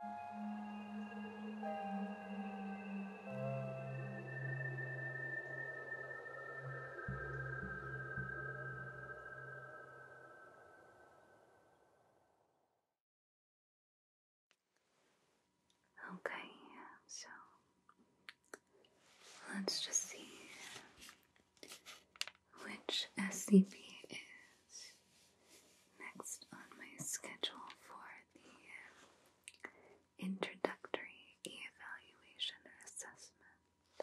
Okay, so let's just see which SCP is Next on my schedule for the introductory evaluation assessment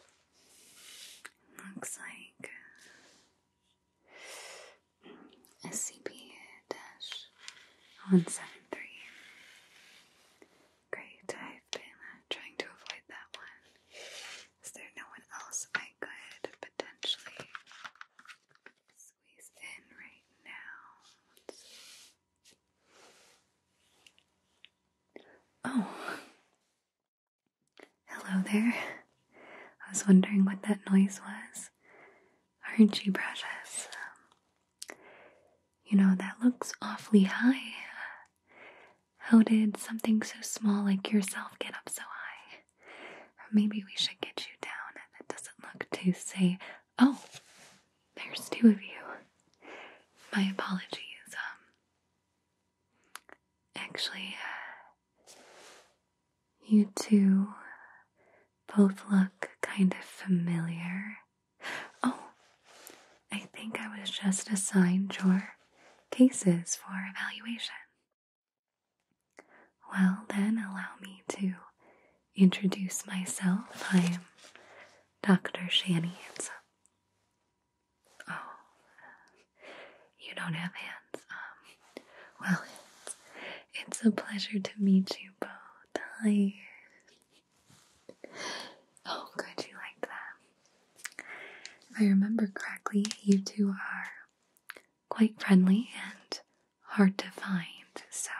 looks like uh, SCP-173. Great, I've been uh, trying to avoid that one. Is there no one else I could potentially Oh, hello there. I was wondering what that noise was. Aren't you precious? you know, that looks awfully high. How did something so small like yourself get up so high? Maybe we should get you down. That doesn't look too safe. Oh, there's two of you. My apologies. Um, actually, uh, you two both look kind of familiar. Oh, I think I was just assigned your cases for evaluation. Well, then, allow me to introduce myself. I am Dr. Shani. It's oh, you don't have hands. Um, well, it's, a pleasure to meet you both. Oh, good, you like that. If I remember correctly, you two are quite friendly and hard to find, so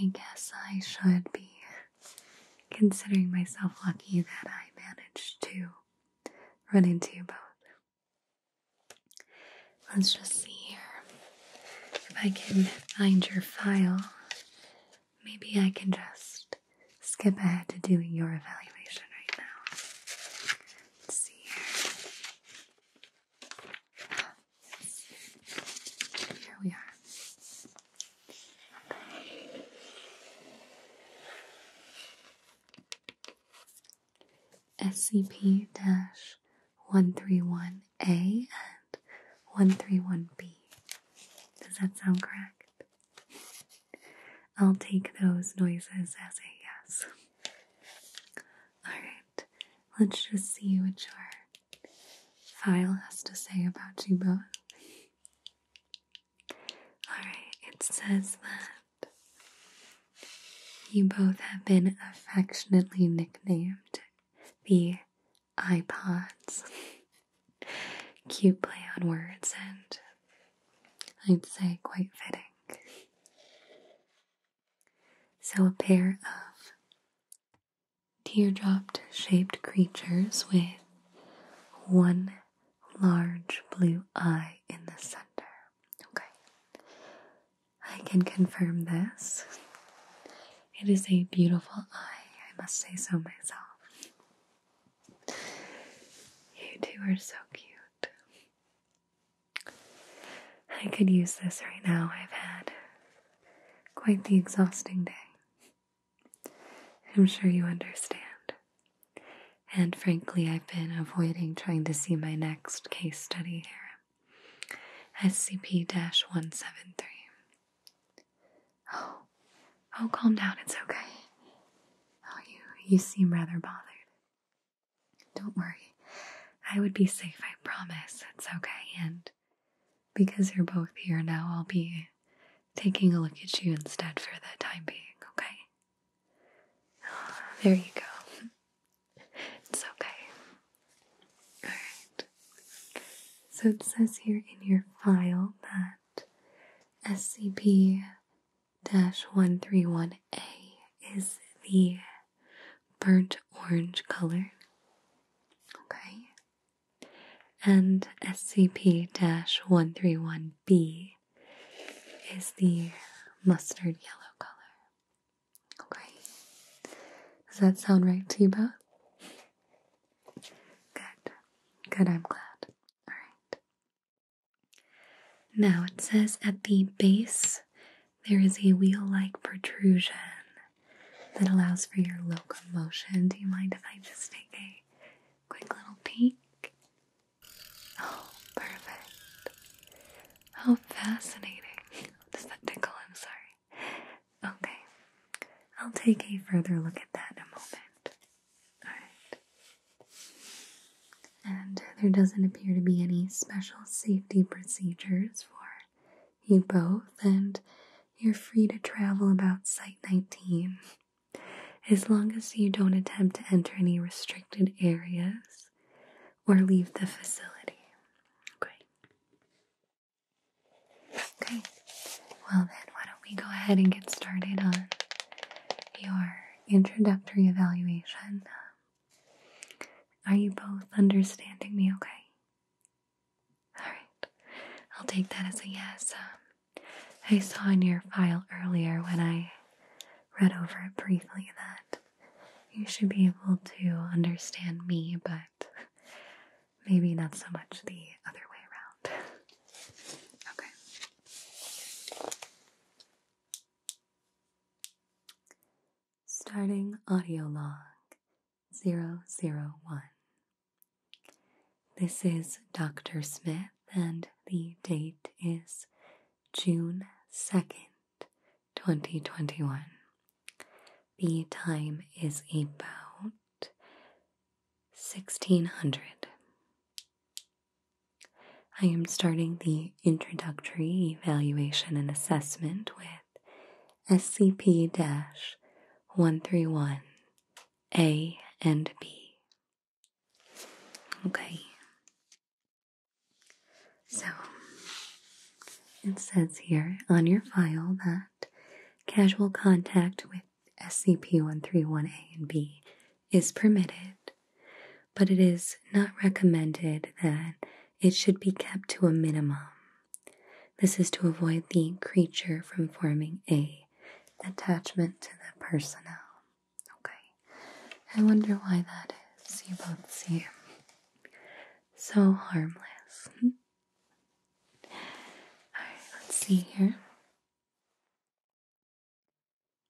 I guess I should be considering myself lucky that I managed to run into you both. Let's just see here if I can find your file. Maybe I can just skip ahead to doing your evaluation right now. Let's see here. Here we are. Okay. SCP-131-A and 131-B. Does that sound correct? I'll take those noises as a yes. Alright, let's just see what your file has to say about you both. Alright, it says that you both have been affectionately nicknamed the iPods. Cute play on words, and I'd say quite fitting. So, a pair of teardrop shaped creatures with one large blue eye in the center. Okay, I can confirm this. It is a beautiful eye, I must say so myself. You two are so cute. I could use this right now. I've had quite the exhausting day. I'm sure you understand. And frankly, I've been avoiding trying to see my next case study here SCP 173. Oh, oh, calm down. It's okay. Oh, you, you seem rather bothered. Don't worry, I would be safe, I promise. It's okay. And because you're both here now, I'll be taking a look at you instead for the time being, okay? there you go. It's okay. Alright. So it says here in your file that SCP 131 a is the burnt orange color. Okay. And SCP 131B is the mustard yellow color. Okay. Does that sound right to you both? Good. Good, I'm glad. Alright. Now it says at the base there is a wheel like protrusion that allows for your locomotion. Do you mind if I just take a quick little peek? Oh, perfect. How oh, fascinating. Does that tickle? I'm sorry. Okay, I'll take a further look at that in a moment. Alright and there doesn't appear to be any special safety procedures for you both, and you're free to travel about Site 19 as long as you don't attempt to enter any restricted areas or leave the facility. Okay. Okay. Well, then, why don't we go ahead and get started on your introductory evaluation? Are you both understanding me okay? Alright, I'll take that as a yes. Um, I saw in your file earlier when I read over it briefly that you should be able to understand me, but maybe not so much the other way around. okay starting audio log 001. This is Dr. Smith, and the date is June 2nd, 2021. The time is about 1600. I am starting the introductory evaluation and assessment with SCP 131 A and B. Okay. So, it says here on your file that casual contact with SCP 131A and B is permitted, but it is not recommended that it should be kept to a minimum. This is to avoid the creature from forming a attachment to the personnel. Okay, I wonder why that is. You both seem so harmless. Hmm? All right, let's see here.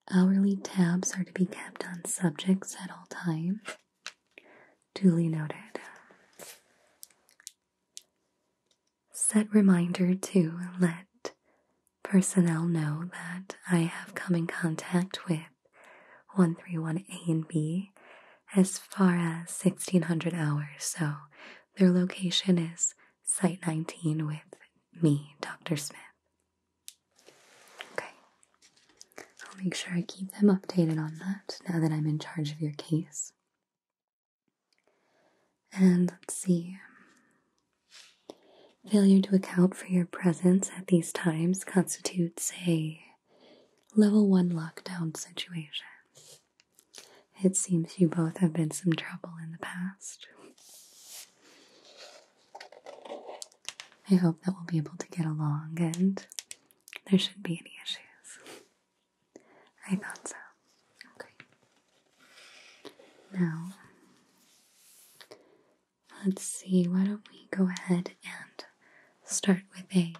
Hourly tabs are to be kept on subjects at all times. Duly noted. Set reminder to let personnel know that I have come in contact with 131A and B as far as 1600 hours, so their location is Site 19 with me, Dr. Smith. Okay. I'll make sure I keep them updated on that now that I'm in charge of your case. And let's see. Failure to account for your presence at these times constitutes a level one lockdown situation. It seems you both have been some trouble in the past. I hope that we'll be able to get along and there shouldn't be any issues. I thought so. Okay. Now, let's see, why don't we go ahead and start with a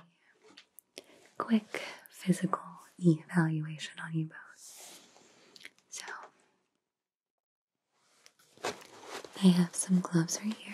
quick physical evaluation on you both. So, I have some gloves right here.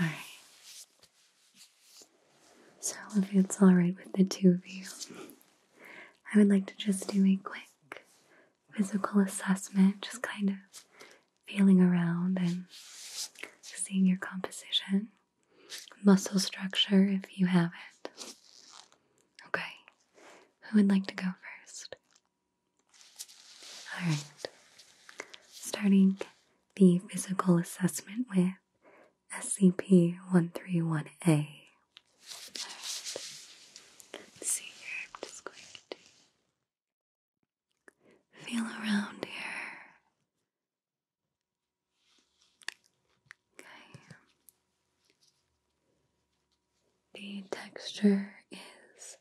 All right. So, if it's all right with the two of you, I would like to just do a quick physical assessment, just kind of feeling around and seeing your composition, muscle structure if you have it. Okay, who would like to go first? All right, starting the physical assessment with SCP 131A. right. Let's see I'm just going to feel around here. Okay. The texture is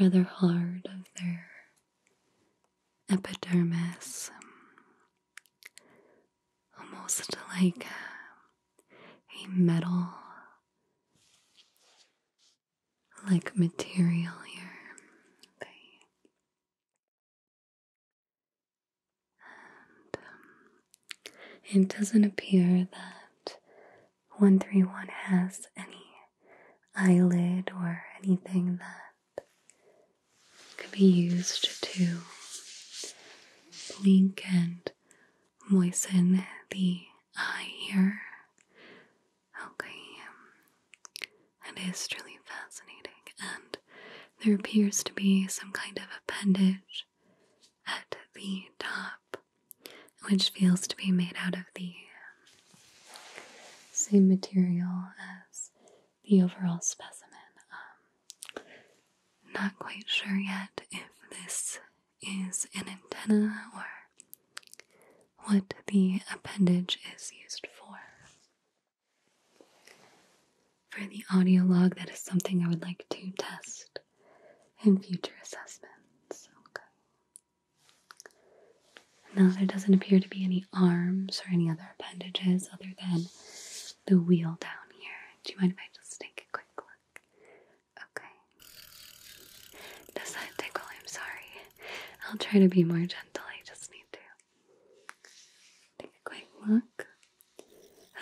rather hard of their epidermis, almost like a metal like material here. Um, it doesn't appear that 131 has any eyelid or anything that could be used to blink and moisten the eye here. Okay, it um, is truly fascinating, and there appears to be some kind of appendage at the top which feels to be made out of the um, same material as the overall specimen. Um, not quite sure yet if this is an antenna or what the appendage is used for. For the audio log, that is something I would like to test in future assessments. Okay. Now there doesn't appear to be any arms or any other appendages other than the wheel down here. Do you mind if I just take a quick look? Okay. Does that tickle? I'm sorry. I'll try to be more gentle. I just need to take a quick look.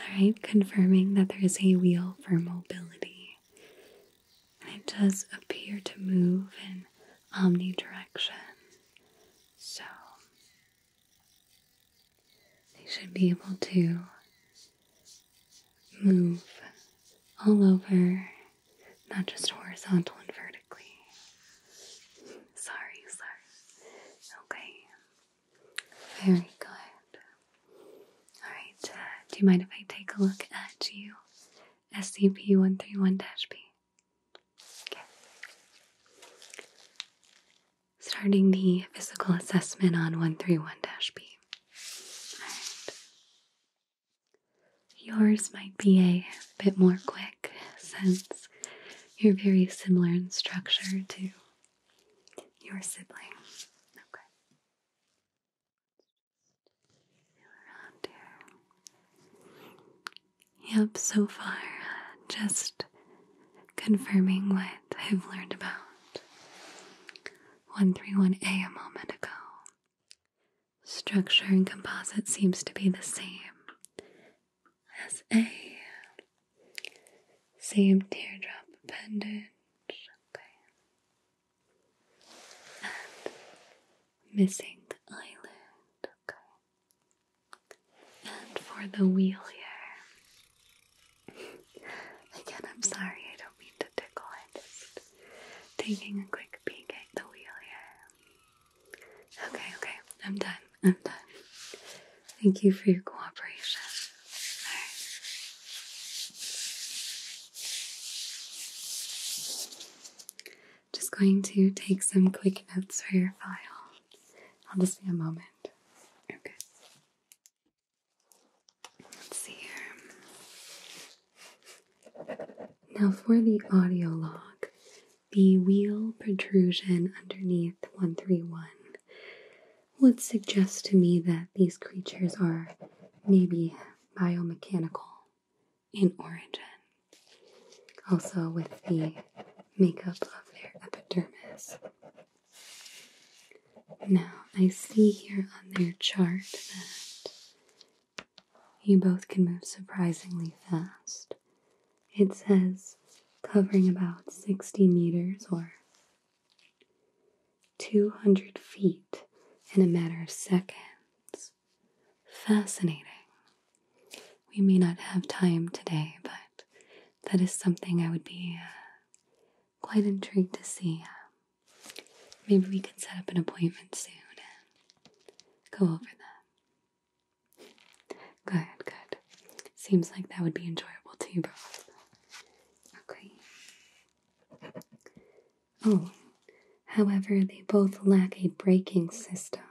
Alright, confirming that there is a wheel for mobility and it does appear to move in omnidirection. So they should be able to move all over, not just horizontal and vertically. Sorry, sorry. Okay. Very good. Alright, uh, do you mind if I take a look at you scp 131 b Starting the physical assessment on 131 b Yours might be a bit more quick since you're very similar in structure to your sibling. Yep, so far, uh, just confirming what I've learned about 131A a moment ago. Structure and composite seems to be the same as A. Same teardrop appendage and missing the island. Okay. And for the wheel here. Again, I'm sorry, I don't mean to tickle. I'm just taking a quick peek at the wheel here. Okay, okay, I'm done. I'm done. Thank you for your cooperation. All right just going to take some quick notes for your file. I'll just be a moment. Okay. Let's see here. Now, for the audio log, the wheel protrusion underneath 131 would suggest to me that these creatures are maybe biomechanical in origin. Also, with the makeup of their epidermis. Now, I see here on their chart that you both can move surprisingly fast. It says covering about 60 meters or 200 feet in a matter of seconds fascinating. We may not have time today, but that is something I would be uh, quite intrigued to see. maybe we could set up an appointment soon and go over that. Good, good. Seems like that would be enjoyable to you both. Okay. Oh, however, they both lack a braking system,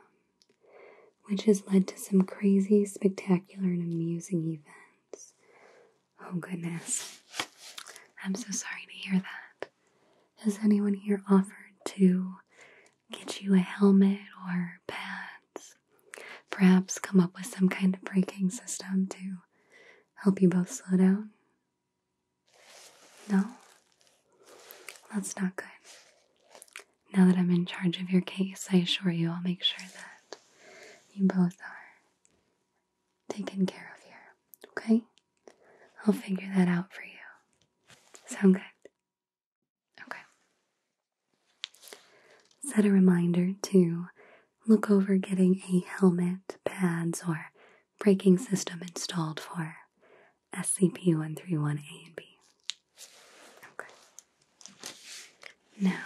which has led to some crazy, spectacular, and amusing events. Oh, goodness. I'm so sorry to hear that. Has anyone here offered to get you a helmet or pads? Perhaps come up with some kind of braking system to help you both slow down? No? That's not good. Now that I'm in charge of your case, I assure you I'll make sure that you both are taken care of here, okay? I'll figure that out for you. Sound good? Okay. Set a reminder to look over getting a helmet, pads, or braking system installed for SCP-131-A and B. Okay. Now,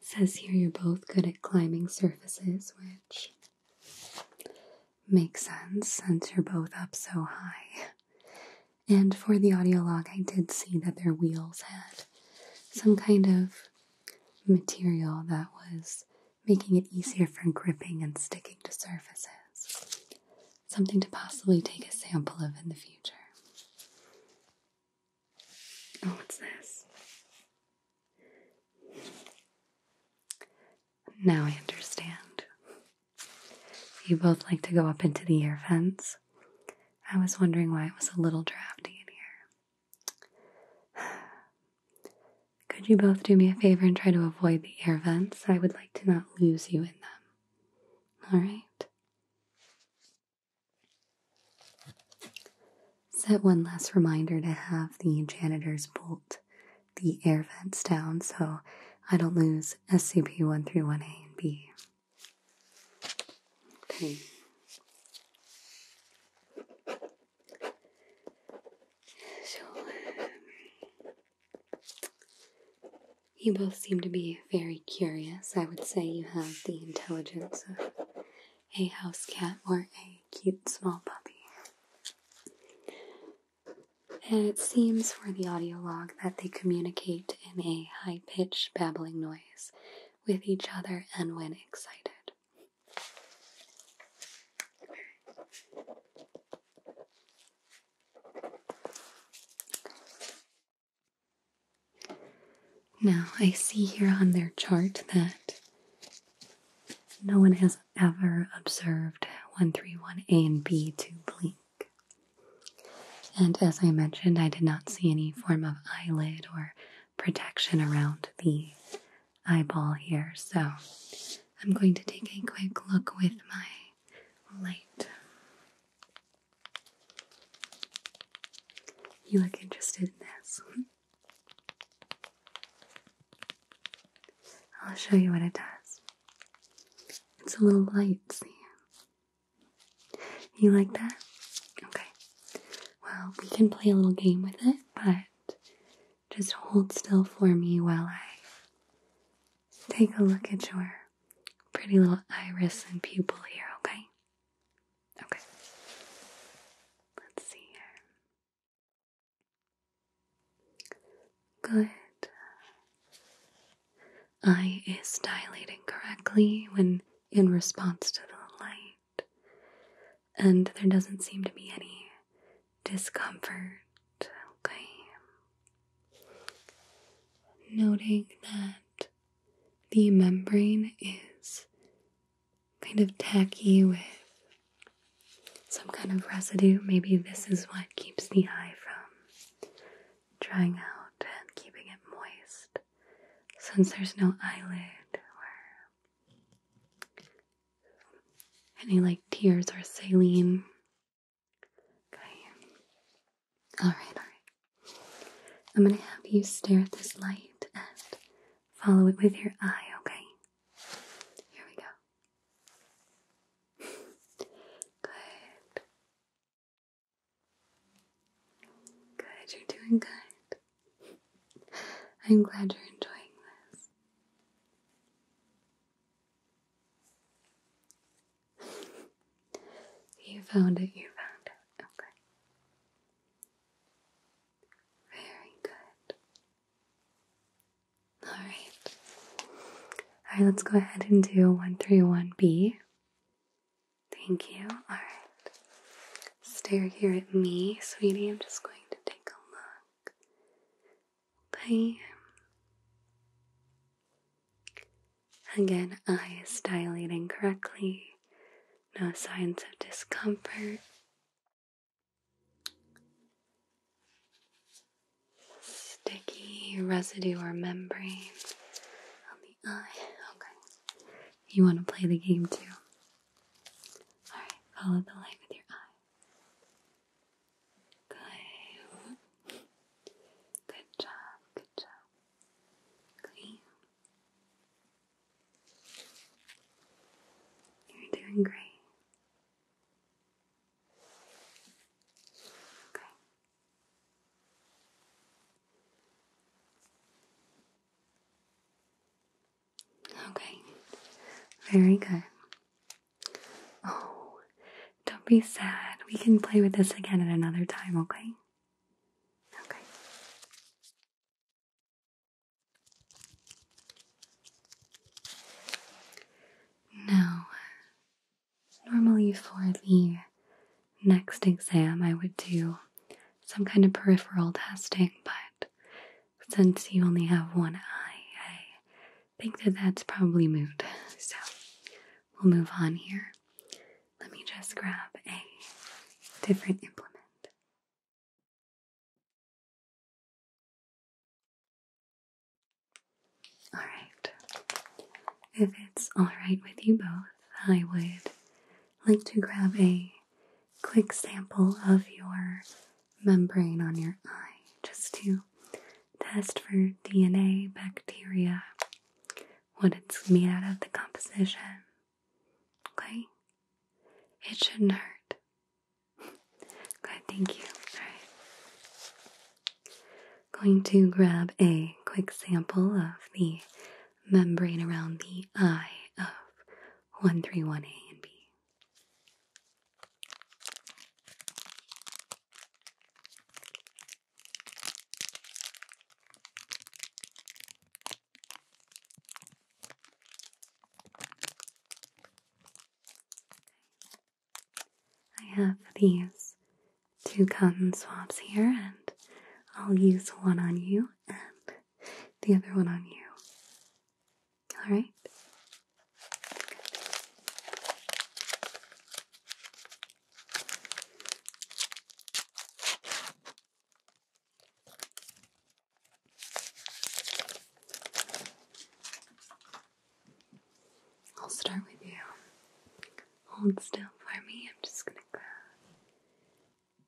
says here you're both good at climbing surfaces, which makes sense since you're both up so high. And for the audio log, I did see that their wheels had some kind of material that was making it easier for gripping and sticking to surfaces. Something to possibly take a sample of in the future. Oh, what's this? Now I understand. You both like to go up into the air vents. I was wondering why it was a little drafty in here. Could you both do me a favor and try to avoid the air vents? I would like to not lose you in them. All right. Set one last reminder to have the janitors bolt the air vents down so I don't lose SCP 131A and B. Okay. So, um, you both seem to be very curious. I would say you have the intelligence of a house cat or a cute small puppy. And it seems for the audio log that they communicate in a high pitched babbling noise with each other and when excited. Now, I see here on their chart that no one has ever observed 131A and B to blink. And as I mentioned, I did not see any form of eyelid or protection around the eyeball here. So I'm going to take a quick look with my light. You look interested in this. I'll show you what it does. It's a little light, see? You like that? Okay. Well, we can play a little game with it, but just hold still for me while I take a look at your pretty little iris and pupil here, okay? Okay. Let's see here. Good. Eye is dilating correctly when in response to the light and there doesn't seem to be any discomfort. Okay. Noting that the membrane is kind of tacky with some kind of residue. Maybe this is what keeps the eye from drying out and keeping it moist. Since there's no eyelid or any like tears or saline. Okay. Alright, alright. I'm gonna have you stare at this light and follow it with your eye, okay? Here we go. Good. Good, you're doing good. I'm glad you're enjoying this. you found it, you found it. Okay. Very good. Alright. Alright, let's go ahead and do 131B. Thank you. Alright. Stare here at me, sweetie. I'm just going to take a look. Bye. Again, eyes dilating correctly. No signs of discomfort. Sticky residue or membrane on the eye. Okay. You want to play the game too. Alright, follow the light with your eyes. Good. Good job, good job. Clean. You're doing great. Okay. Okay, very good. Oh, don't be sad. We can play with this again at another time, okay? Okay. Now, normally for the next exam, I would do some kind of peripheral testing, but since you only have one eye, I think that that's probably moved. So we'll move on here. Let me just grab a different implement. All right. If it's all right with you both, I would like to grab a quick sample of your membrane on your eye just to test for DNA, bacteria, what it's made out of, the composition. Okay? It shouldn't hurt. Good, thank you. Alright. Going to grab a quick sample of the membrane around the eye of 131A and B. I have these two cotton swabs here, and I'll use one on you and the other one on you. All right? I'll start with you. Hold still for me. I'm just gonna grab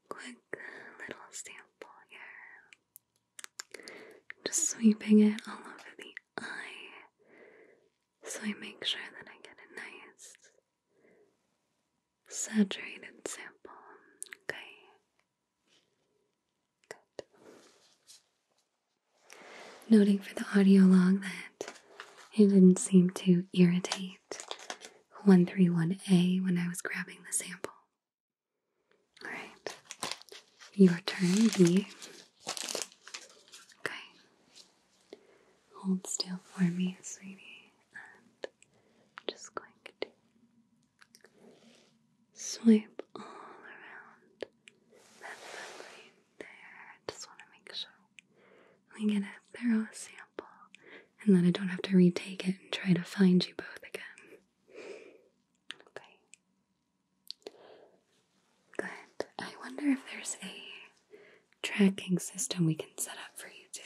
quick little sample here. Just sweeping it all over the eye so I make sure that I get a nice saturated sample. Okay. Good. Noting for the audio log that it didn't seem to irritate 131A when I was grabbing the sample. All right. Your turn, B. Okay. Hold still for me, sweetie, I'm just going to swipe all around that membrane there. I just want to make sure we get a thorough sample and then I don't have to retake it and try to find you both again. Okay. Good. I wonder if there's a tracking system we can set up for you too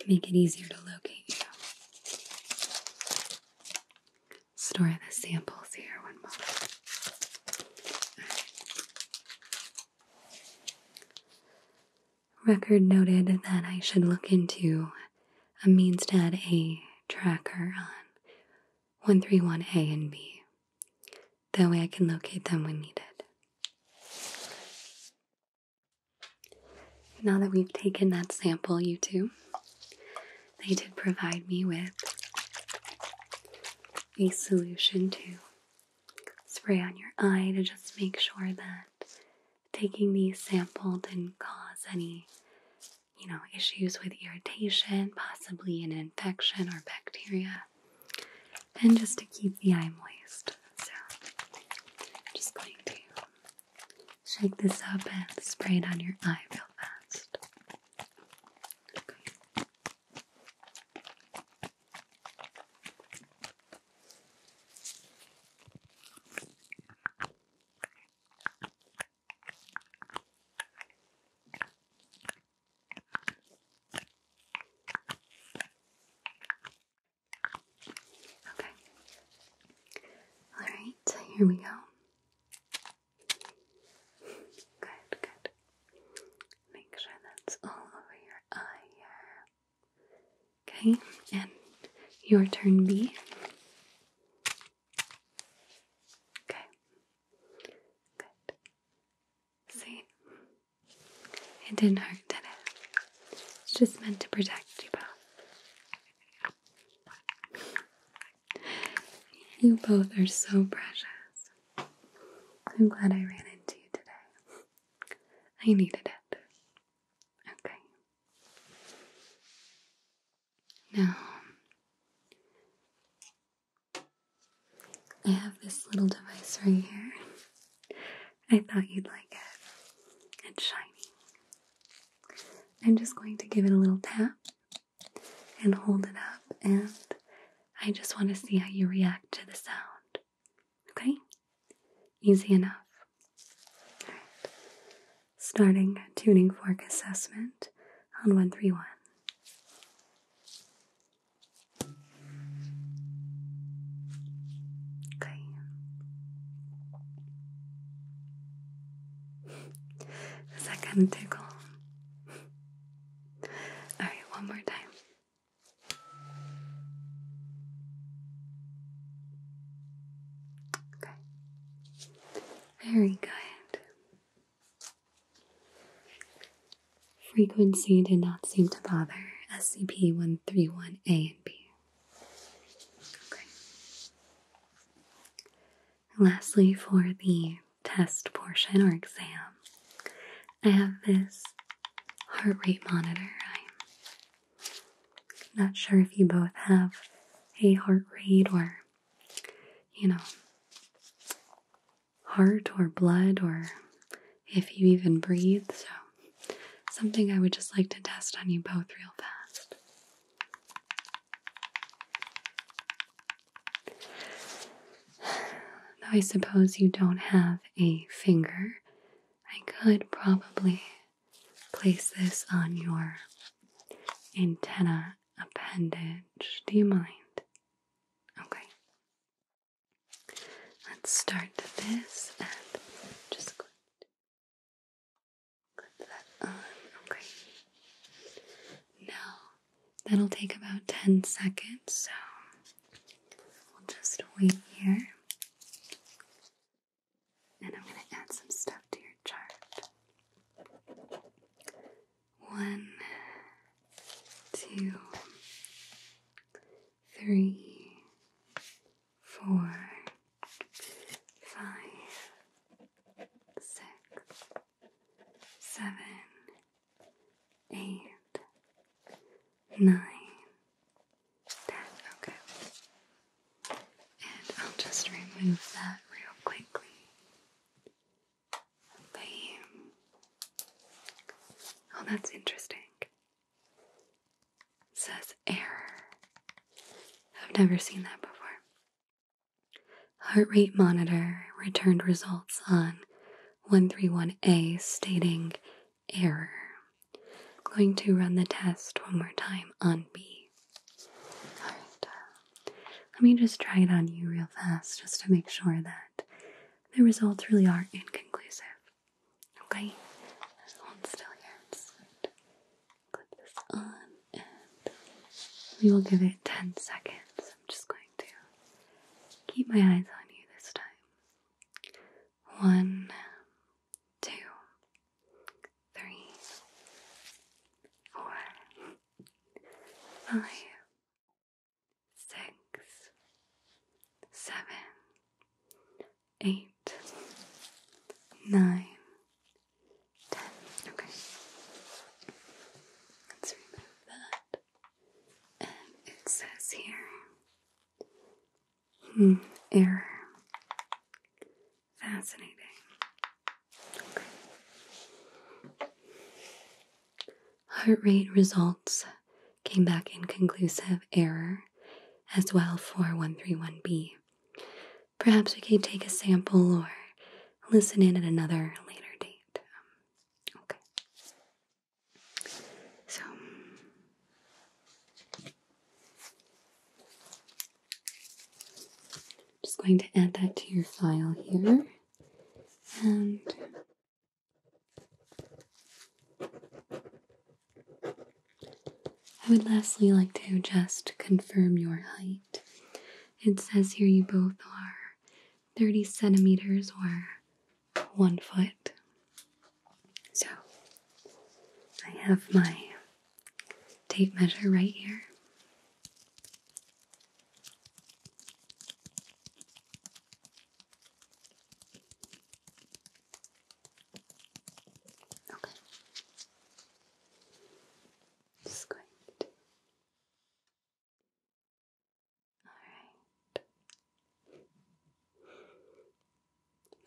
to make it easier to locate you. Store the samples here one moment. Record noted that I should look into a means to add a tracker on 131A and B. That way I can locate them when needed. Now that we've taken that sample, you two, they did provide me with a solution to spray on your eye to just make sure that taking these sample didn't cause any, you know, issues with irritation, possibly an infection or bacteria, and just to keep the eye moist. So, I'm just going to shake this up and spray it on your eye real fast. Okay. All right, here we go. Good, good. Make sure that's all over your eye here. Okay, and your turn B. Okay, good. See? It didn't hurt, did it? It's just meant to protect you both. You both are so precious. I'm glad I ran into you today. I needed it. Okay. Now, I have this little device right here. I thought you'd like it. It's shiny. I'm just going to give it a little tap and hold it up, and I just want to see how you react to the sound. Okay? Easy enough. All right. Starting tuning fork assessment on 131. Okay. Does that kind of tickle? All right, one more time. Okay. Very good. Frequency did not seem to bother SCP 131A and B. Okay. lastly, for the test portion or exam, I have this heart rate monitor. Not sure if you both have a heart rate or, you know, heart or blood or if you even breathe. So, something I would just like to test on you both real fast. Though I suppose you don't have a finger, I could probably place this on your antenna appendage. Do you mind? Okay. Let's start this and just clip, that on. Okay. Now, that'll take about 10 seconds, so we'll just wait here and I'm going to add some stuff to your chart. One, two, three, four, five, six, seven, eight, nine, okay. And I'll just remove that real quickly. Bam. Oh, that's interesting. says error. I've never seen that before. Heart rate monitor returned results on 131A stating error. I'm going to run the test one more time on B. Alright, uh, let me just try it on you real fast just to make sure that the results really are inconclusive. Okay? Hold still here. clip this on and we will give it 10 seconds. I'm just going to keep my eyes on you this time. One, two, three, four, five, six, seven, eight, nine, ten. Okay. Let's remove that. And it says here Hmm, error. Fascinating. Heart rate results came back inconclusive error as well for 131B. Perhaps we can take a sample or listen in at another later date. Um, okay. So, just going to add that to your file here and I would lastly like to just confirm your height. It says here you both are 30 centimeters or one foot. So I have my tape measure right here. Okay. Just going All right.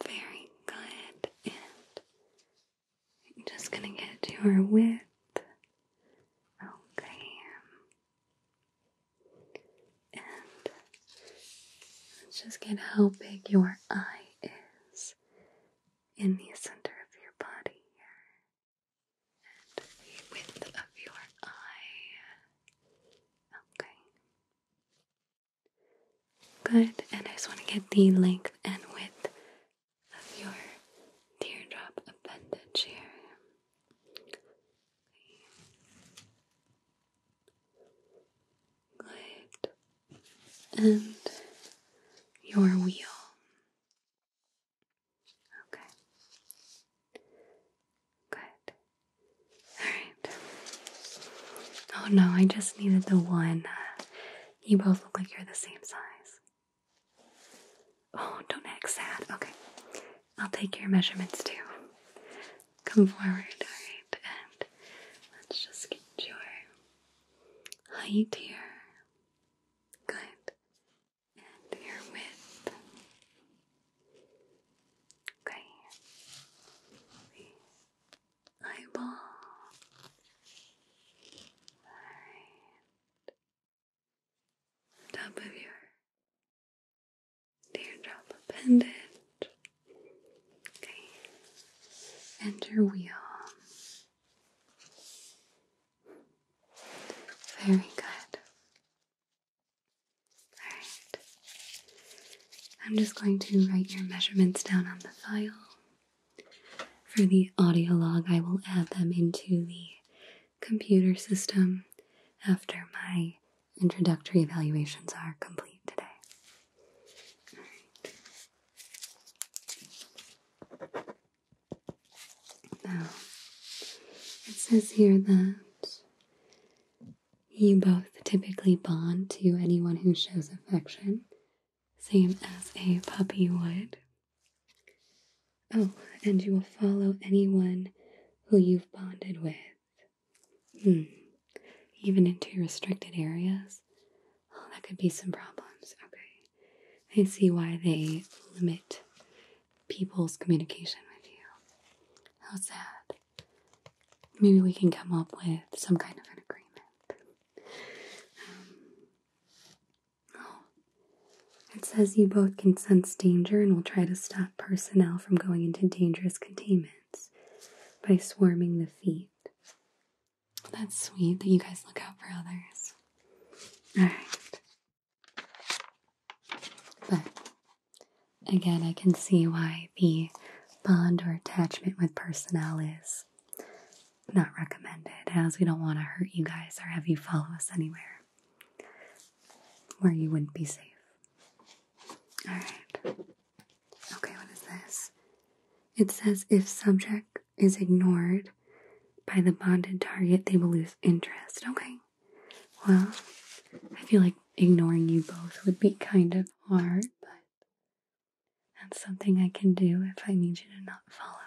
Very good. And I'm just gonna get your width. Okay. And let's just get how big your eye is in the center of your body here. And the width of your eye. Okay. Good, and I just want to get the length and width of your teardrop appendage here. Good, and your wheel. Okay. Good. All right. Oh no, I just needed the one uh, you both look like you're the same size. Oh, don't act sad. Okay. I'll take your measurements too. Come forward, alright? And let's just get your height here. Good. And your width. Okay eyeball. Right. Top of your teardrop appendage. Okay. And your wheel. Very good. Alright. I'm just going to write your measurements down on the file. For the audio log, I will add them into the computer system after my introductory evaluations are complete today. Now, it says here that you both typically bond to anyone who shows affection same as a puppy would. Oh, and you will follow anyone who you've bonded with. Hmm. Even into restricted areas? Oh, that could be some problems. Okay. I see why they limit people's communication with you. How sad. Maybe we can come up with some kind of an agreement. Um, oh. It says you both can sense danger and will try to stop personnel from going into dangerous containments by swarming the feet. That's sweet that you guys look out for others. Alright. But again, I can see why the bond or attachment with personnel is not recommended as we don't want to hurt you guys or have you follow us anywhere where you wouldn't be safe. Alright. Okay, what is this? It says if subject is ignored by the bonded target, they will lose interest. Okay. Well, I feel like ignoring you both would be kind of hard, but that's something I can do if I need you to not follow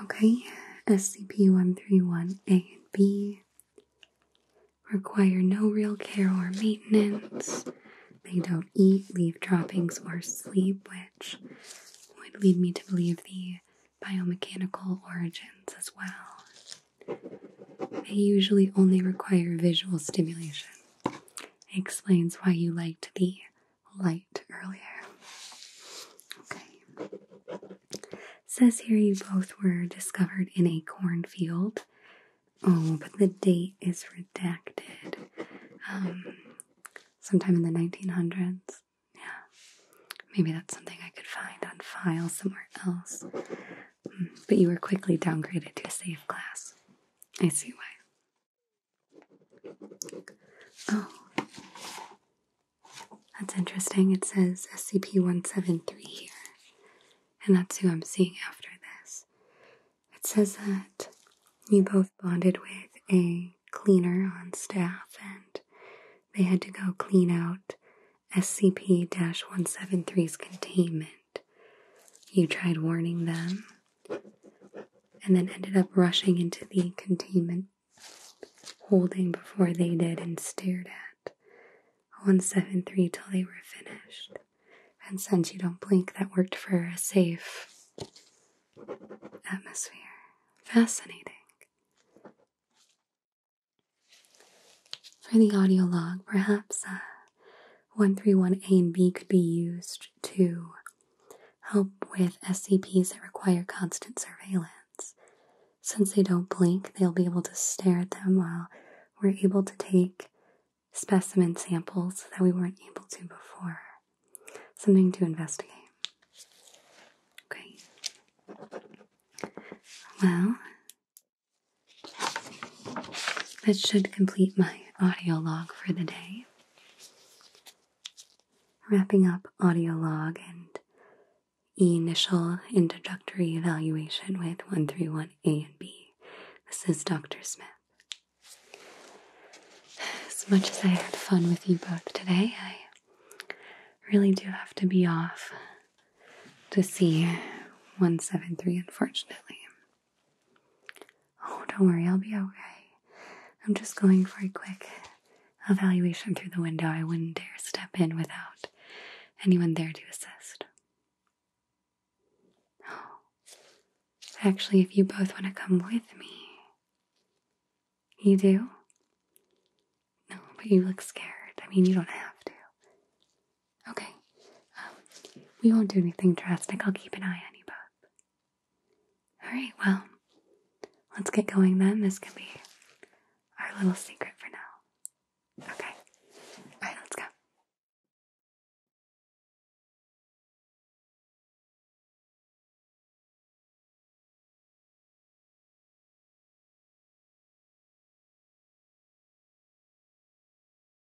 me. Okay, SCP 131 A and B require no real care or maintenance. They don't eat, leave droppings, or sleep, which would lead me to believe the biomechanical origins as well. They usually only require visual stimulation explains why you liked the light earlier. Okay. says here you both were discovered in a cornfield. Oh, but the date is redacted. Um, sometime in the 1900s. Yeah. Maybe that's something I could find on file somewhere else but you were quickly downgraded to a safe class. I see why. Oh, that's interesting. It says SCP 173 here, and that's who I'm seeing after this. It says that you both bonded with a cleaner on staff, and they had to go clean out SCP 173's containment. You tried warning them and then ended up rushing into the containment holding before they did and stared at 173 till they were finished. And since you don't blink, that worked for a safe atmosphere. Fascinating. For the audio log, perhaps uh, 131A and B could be used to help with SCPs that require constant surveillance. Since they don't blink, they'll be able to stare at them while we're able to take specimen samples that we weren't able to before. Something to investigate. Okay. Well, that should complete my audio log for the day. Wrapping up audio log and initial introductory evaluation with 131A and B. This is Dr. Smith. As much as I had fun with you both today, I really do have to be off to see 173, unfortunately. Oh, don't worry, I'll be okay. I'm just going for a quick evaluation through the window. I wouldn't dare step in without anyone there to assist. Oh. Actually, if you both want to come with me. You do? No, but you look scared. I mean, you don't have to. Okay. Um, we won't do anything drastic. I'll keep an eye on you Bob. All right, well, let's get going then. This can be our little secret for now. Okay. All right, let's go.